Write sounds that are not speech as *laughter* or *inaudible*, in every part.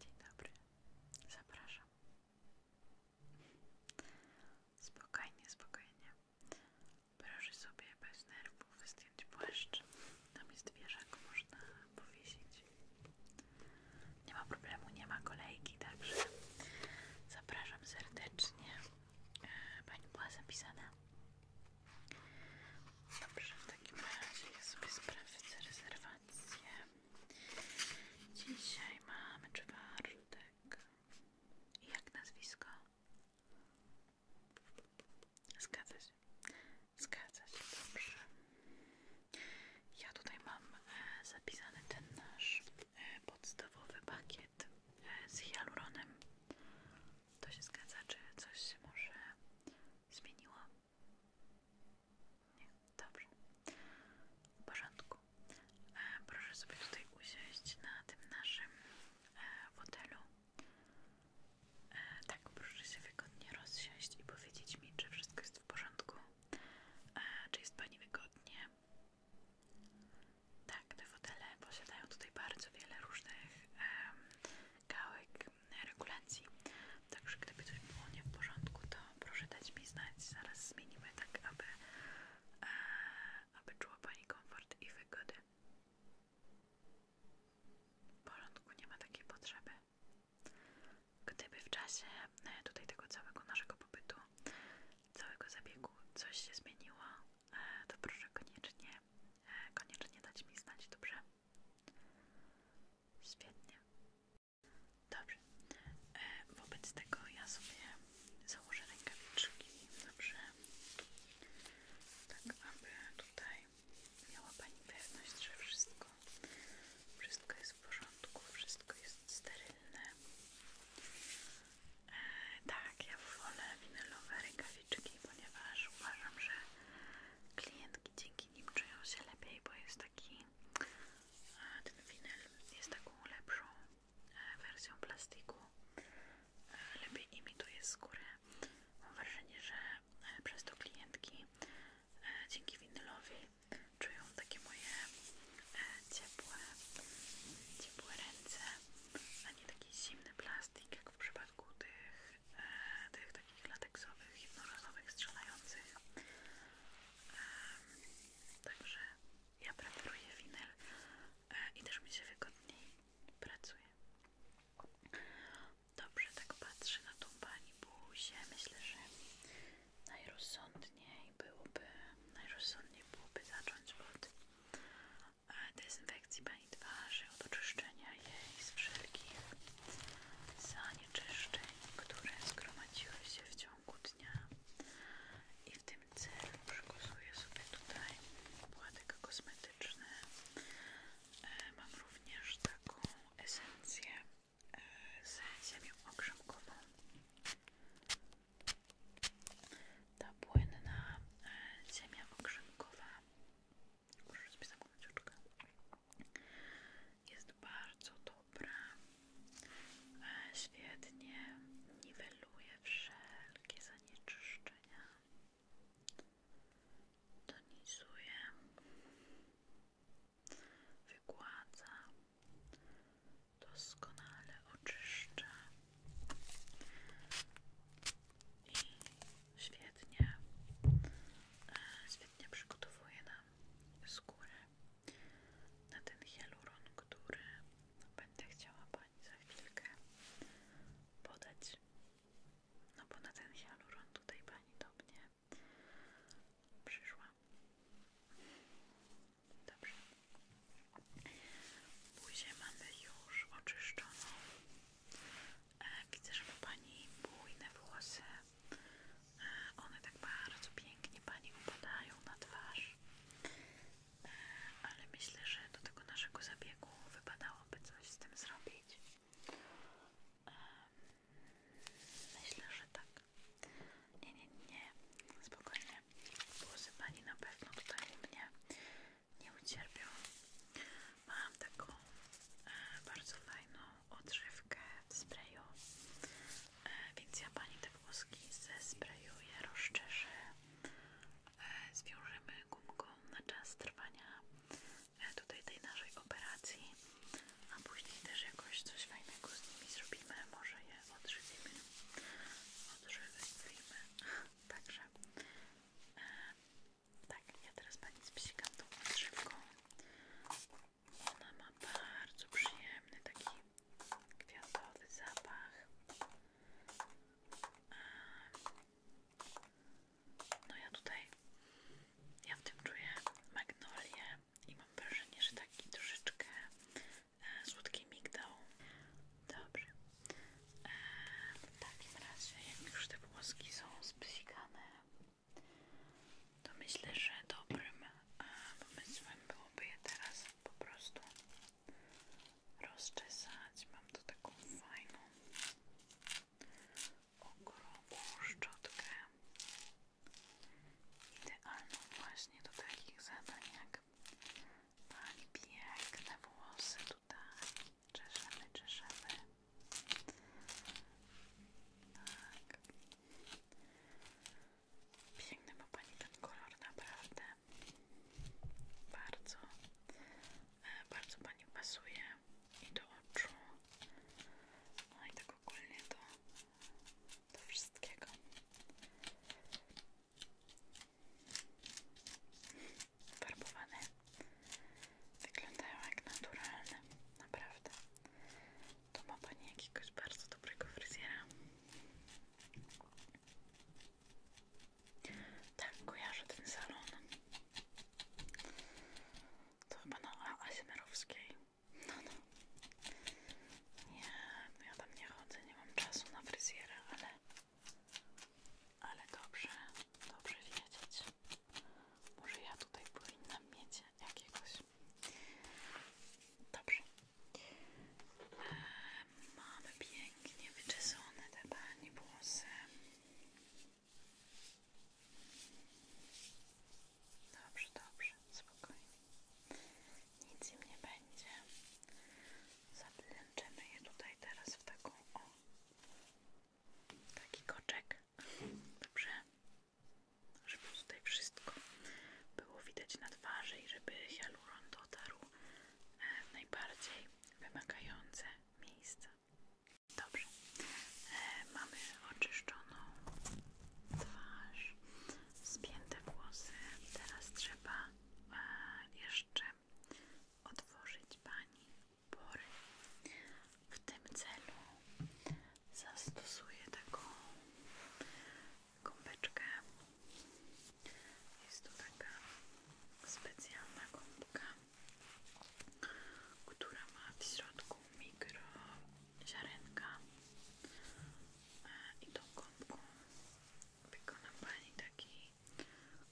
Dzień dobry, zapraszam. Spokojnie, spokojnie. Proszę sobie bez nerwów zdjąć płaszcz. Tam jest dwie wieżak, można powiesić. Nie ma problemu, nie ma kolejki, także zapraszam serdecznie. E, pani była zapisana. Dobrze, w takim razie ja sobie z rezerwację rację. Dzisiaj mamy czwartek. I jak nazwisko? Zgadza się. Zgadza się, dobrze. Ja tutaj mam e, zapisany ten nasz e, podstawowy pakiet e, z hyaluronem. To się zgadza, czy coś się może zmieniło? Nie, dobrze. W porządku. E, proszę sobie tutaj usiąść na tym naszym e, fotelu. E, tak, proszę się wygodnie rozsiąść i powiedzieć mi, czy wszystko jest w porządku. E, czy jest Pani wygodnie? Tak, te fotele posiadają tutaj bardzo wiele różnych e, regulacji. Także gdyby coś było nie w porządku, to proszę dać mi znać. Zaraz zmienimy tak, aby, e, aby czuła Pani komfort i wygodę. W porządku, nie ma takiej potrzeby. Gdyby w czasie e, tutaj tego całego naszego pobytu, całego zabiegu coś się zmieniło, e, to proszę koniecznie, koniecznie dać mi znać, dobrze? Świetnie. Dobrze. E, wobec tego ja sobie założę rękawiczki. Dobrze. Tak, aby tutaj miała Pani pewność, że wszystko, wszystko jest w porządku, wszystko jest sterylne. E, tak, ja wolę winylowe rękawiczki, ponieważ uważam, że klientki dzieciaki dzięki nim czują się lepiej, bo jest taki e, ten winyl jest taką lepszą e, wersją plastiku e, lepiej imituje skórę mam wrażenie, że przez to klientki dzięki winylowi czują takie moje ciepłe ciepłe ręce a nie taki zimny plastik jak w przypadku tych, tych takich lateksowych, jednorazowych, strzelających. także ja preferuję winyl e, i też mi się wygodniej pracuje. Dobrze, tak patrzę na tą pani buzię. Myślę, że najrozsądniej byłoby, najrozsądniej byłoby zacząć od e, dezynfekcji i twarzy od oczyszczenia jej z wszelkich zanieczyszczeń, które zgromadziły się w ciągu dnia i w tym celu przygotuję sobie tutaj płatek kosmetyczny e, mam również taką esencję z e, ziemią okrzemkową ta płynna e, ziemia okrzemkowa Muszę sobie zamknąć oczka. Jest bardzo dobra. E, świetnie niweluje wszelkie zanieczyszczenia. donisuje Wygładza. Doskonale oczyszcza. I świetnie, e, świetnie przygotowuje nam skórę na ten hialuron, który będę chciała Pani za chwilkę podać. No bo na ten hialuron tutaj Pani do mnie przyszła. Dobrze. później mamy już oczyszczoną E, widzę, że ma Pani bujne włosy. E, one tak bardzo pięknie Pani upadają na twarz. E, ale myślę, że do tego naszego zabiegu wypadałoby coś z tym zrobić. Myślę, że tak. Nie, nie, nie. Spokojnie. Włosy Pani na pewno tutaj u mnie nie ucierpią. Mam taką e, bardzo fajną odżywkę w sprayu, e, więc ja Pani te włoski ze zesprayuję, rozczeszę, e, zwiążemy gumką na czas trwania e, tutaj tej naszej operacji, a później też jakoś coś fajnego z nimi zrobimy, może je odżywimy, odżywimy, *laughs* także tak, ja teraz pani spsikam tą drzewką. Ona ma bardzo przyjemny taki kwiatowy zapach. No ja tutaj, ja w tym czuję magnolię i mam wrażenie, że taki troszeczkę e, słodki migdał. Dobrze, w takim razie, jak już te włoski są spsikane, to myślę, że dobrym e, pomysłem byłoby je teraz po prostu rozczesać. Mam tu taką fajną, ogromną szczotkę, idealną właśnie do takich zadań jak pani piękne włosy tutaj Czeszemy, czeszemy. Tak. Piękny ma Pani ten kolor, naprawdę. Bardzo, e, bardzo Pani pasuje i do oczu, no i do tak ogólnie do, do wszystkiego farbowane wyglądają jak naturalne, naprawdę to ma Pani jakiegoś bardzo dobrego fryzjera tak, kojarzę ten salon to chyba na Asimerowskiej no no nie, no ja tam nie chodzę, nie mam czasu na fryzjera, ale ale dobrze, dobrze wiedzieć. Może ja tutaj powinnam mieć jakiegoś. Dobrze. E, mamy pięknie wyczesone te pani włosy. Dobrze, dobrze, spokojnie. Nic im nie będzie. Zaplęczymy je tutaj teraz w taką o, Taki koczek. Dobrze. Żeby tutaj wszystko było widać na twarzy i żeby hialuron dotarł e, w najbardziej wymagające miejsca. Dobrze. E, mamy oczyszczoną twarz, spięte włosy. Teraz trzeba e, jeszcze odtworzyć Pani pory. W tym celu zastosuję taką kąpeczkę. Jest tu taka specjalna kąpka, która ma w środku mikro ziarenka e, i tą kąpką wykonam Pani taki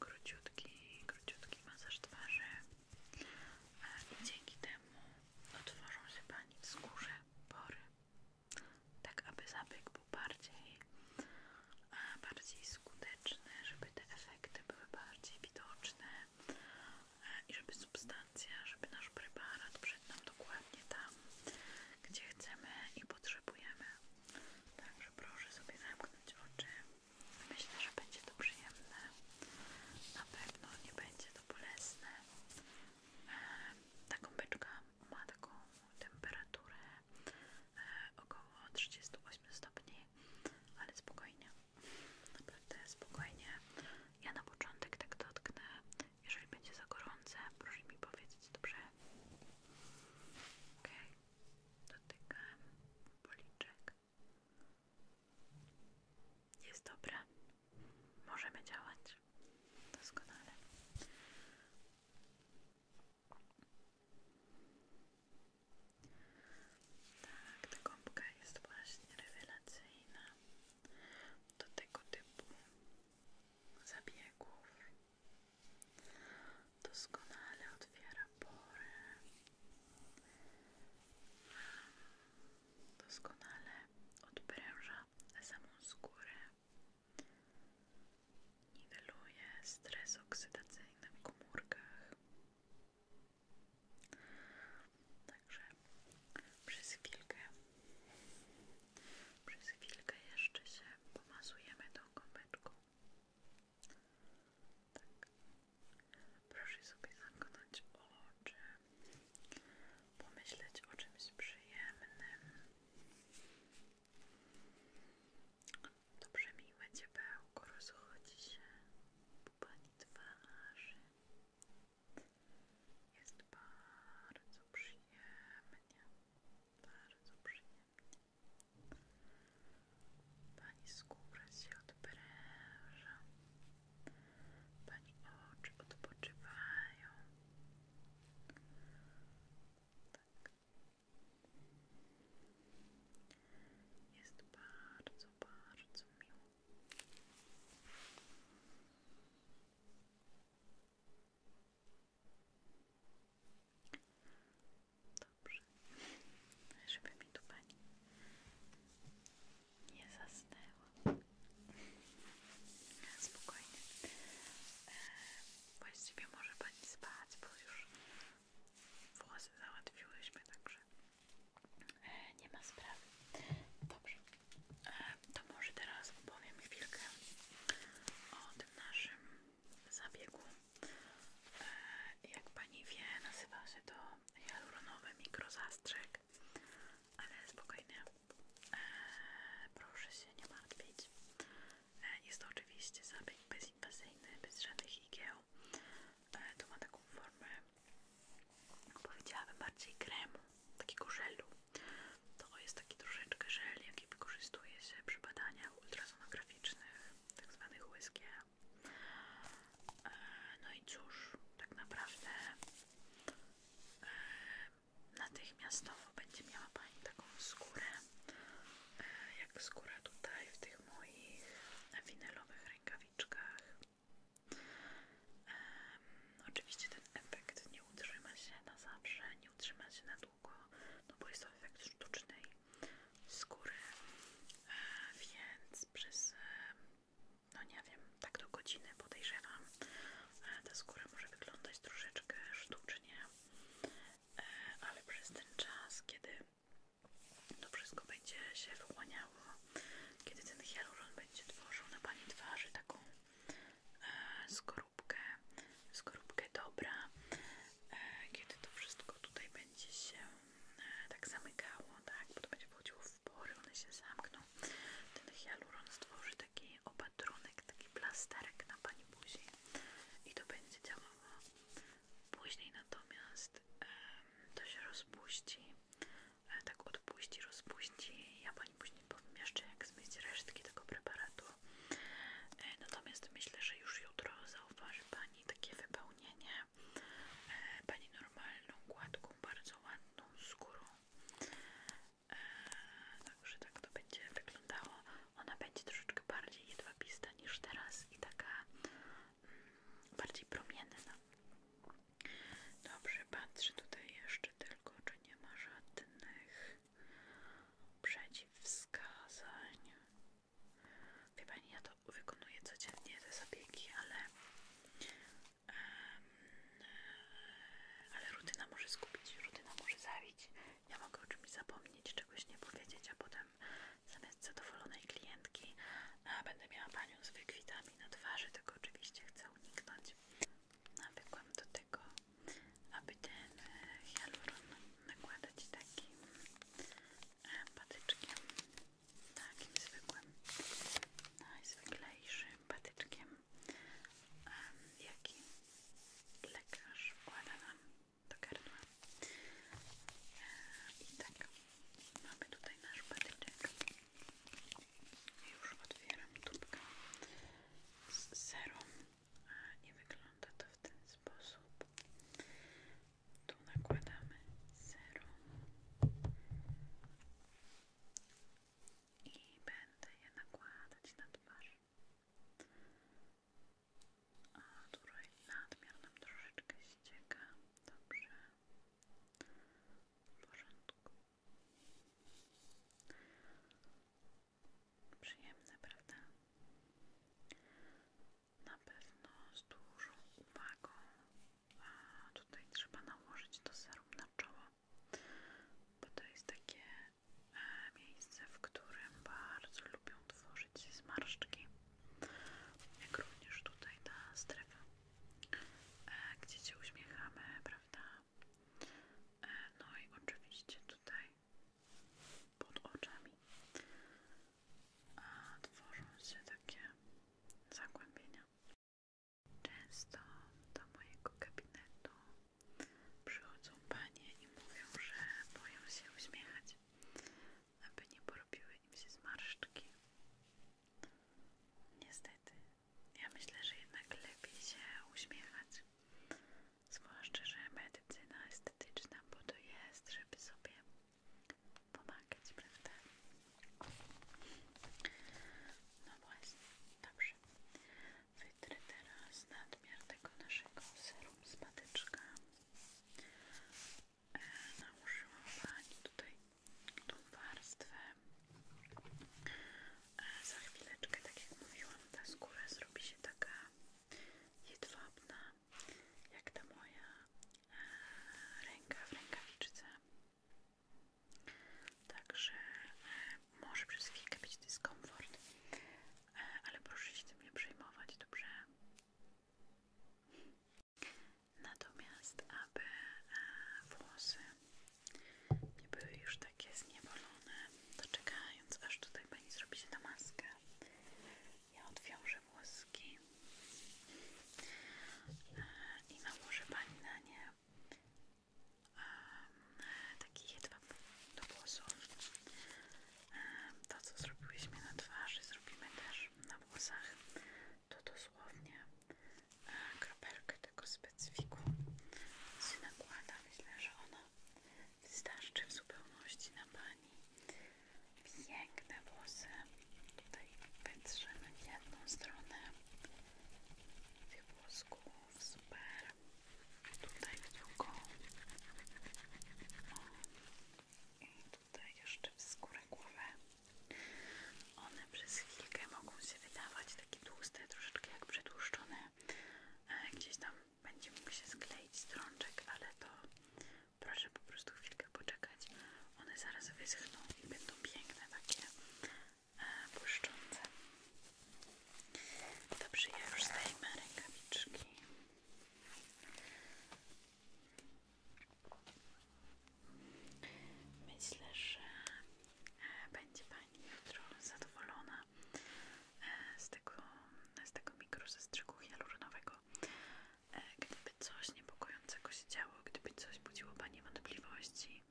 króciutki, króciutki masaż twarzy i dzięki temu otworzą się Pani w skórze pory, tak aby zabieg był bardziej, bardziej skuteczny, żeby te efekty były bardziej widoczne i żeby substancja, żeby nasz preparat przyszedł nam dokładnie tam, gdzie chcemy i potrzebujemy. Także proszę sobie zamknąć oczy. Myślę, że będzie to przyjemne. Na pewno nie będzie to bolesne. E, Ta kąpeczka ma taką temperaturę e, około 38 stopni, ale spokojnie. Naprawdę spokojnie. Ja na początek tak dotknę. Jeżeli będzie za gorące, proszę mi powiedzieć, dobrze? Okej dotykałem policzek. Jest dobre. Możemy działać. Doskonale. Tak, ta gąbka jest właśnie rewelacyjna do tego typu zabiegów. Doskonale otwiera pory. Doskonale odpręża samą skórę. Niweluje stres oksydacyjny w komórkach. Także przez chwilkę, przez chwilkę jeszcze się pomazujemy do gąbeczką. Tak. Proszę sobie zakonać oczy, pomyśleć o czymś przyjemnym. Dobrze miłe ciepełko rozchodzi się po Pani twarzy. Jest bardzo przyjemnie, bardzo przyjemnie. Pani skóra się odpręża, Pani oczy odpoczywają. Tak. Jest bardzo, bardzo miło. Dobrze, żeby mi tu pani nie zasnęła. Spokojnie. E, właściwie może pani spać, bo już włosy załatwiłyśmy, także e, nie ma sprawy. Dobrze, e, to może teraz opowiem chwilkę o tym naszym zabiegu. E, jak Pani wie, nazywa się to hialuronowy mikrozastrzyk, ale spokojnie, e, proszę się nie martwić. E, jest to oczywiście zabieg bezinwazyjny, bez żadnych higien To ma taką formę, powiedziałabym bardziej kremu, takiego żelu. To jest taki troszeczkę żel, jaki wykorzystuje się przy badaniach ultrasonograficznych, tak zwanych USG. E, no i cóż, tak naprawdę e, natychmiastowo będzie miała Pani taką skórę, e, jak skóra tutaj w tych moich winylowych rękawiczkach. Oczywiście ten efekt nie utrzyma się na zawsze, nie utrzyma się na długo, no bo jest to efekt sztucznej skóry, e, więc przez, e, no nie wiem, tak do godziny podejrzewam, e, ta skóra może wyglądać troszeczkę sztucznie, ale przez ten czas, kiedy to wszystko będzie się wyłaniało, kiedy ten hialuron będzie tworzył na Pani twarzy taką skórę skorupkę, skorupkę dobra, e, kiedy to wszystko tutaj będzie się e, tak zamykało, tak, bo to będzie wchodziło w pory, one się zamkną. Ten hialuron stworzy taki opatrunek, taki plasterek na Pani buzi i to będzie działało. Później natomiast to się rozpuści, e, tak odpuści, rozpuści, ja pani Pani później powiem jeszcze jak zmieść resztki tego preparatu. E, natomiast myślę, że już jutro zauważy Pani takie wypełnienie. E, Pani normalną, gładką, bardzo ładną skórą. E, także tak to będzie wyglądało. Ona będzie troszeczkę bardziej jedwabista niż teraz i taka mm, bardziej promienna. Dobrze, patrzę tutaj jeszcze tylko, czy nie ma żadnych przeciwwskazań. Wie Pani, ja to wykonuję codziennie, te zabiegi, ale, um, ale rutyna może skupić, rutyna może zabić. Ja mogę o czymś zapomnieć, czegoś nie powiedzieć, a potem zamiast zadowolonej klientki e, będę miała Panią z wykwitami na twarzy, tego oczywiście chcę uniknąć. Nawykłam do tego aby ten e, hialuron nakładać takim e, patyczkiem, takim zwykłym, najzwyklejszym patyczkiem, e, jaki lekarz wkłada nam do I tak, mamy tutaj nasz patyczek. i Już otwieram tubkę serum nie wygląda to w ten sposób. Tu nakładamy serum i będę je nakładać na twarz. A tutaj nadmiar nam troszeczkę ścieka. Dobrze. W porządku. Przyjemne, prawda? Na pewno z dużą uwagą. tutaj trzeba nałożyć to serum na czoło, bo to jest takie e, miejsce, w którym bardzo lubią tworzyć zmarszczki. Jak również tutaj ta strefa, e, gdzie się uśmiechamy, prawda? No i oczywiście tutaj pod oczami tworzą się takie zagłębienia. Często do mojego gabinetu przychodzą panie i mówią, że boją się uśmiechać, aby nie porobiły im się zmarszczki. Niestety ja myślę, że jednak lepiej się uśmiechać. Zwłaszcza, że medycyna estetyczna po to jest, żeby sobie pomagać, prawda? No właśnie, dobrze. Wytrę teraz nadmiar tego naszego serum z patyczka. E, nałożyłam Pani tutaj tą warstwę za chwileczkę, tak jak mówiłam, ta skóra zrobi się taka jedwabna, jak ta moja e, ręka w rękawiczce. Także e, może przez chwilkę być dyskomfort, e, ale proszę się tym nie przejmować, dobrze? Natomiast, aby włosy nie były już takie zniewolone, to aż tutaj pani zrobi się ta maskę. Ja odwiążę włoski i nałożę pani na nie taki jedwab do włosów. To co zrobiłyśmy na twarzy zrobimy też na włosach. To dosłownie kropelkę tego specyfiku się nakłada. Myślę, że ona wystarczy w zupełności na Pani. Piękne włosy. Tutaj wytrzemy w jedną stronę tych włosków. Super. Tutaj w drugą. I tutaj jeszcze w skórę głowy. One przez chwilkę mogą się wydawać takie tłuste, troszeczkę jak przetłuszczone. E, gdzieś tam będzie mógł się skleić strączek, ale to proszę po prostu chwilkę poczekać. One zaraz wyschną i będą piękne, takie e, błyszczące. Dobrze, ja już zdejmę rękawiczki. Myślę, że e, będzie Pani jutro zadowolona e, z tego, z tego mikrozestrzyku hialuronowego. E, gdyby coś niepokojącego się działo, gdyby coś budziło Pani wątpliwości,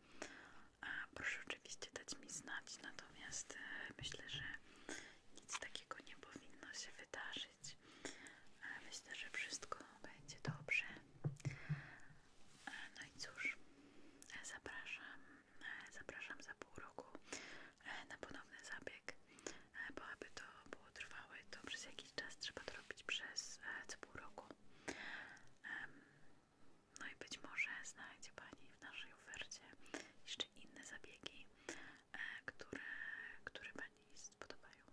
proszę oczywiście dać mi znać, natomiast myślę, że nic takiego nie powinno się wydarzyć. Myślę, że wszystko będzie dobrze. E, no i cóż, e, zapraszam, e, zapraszam za pół roku na ponowny zabieg, bo aby to było trwałe, to przez jakiś czas trzeba to robić przez co pół roku. No i być może znajdzie Pani w naszej ofercie jeszcze inne zabiegi, które, które Pani spodobają.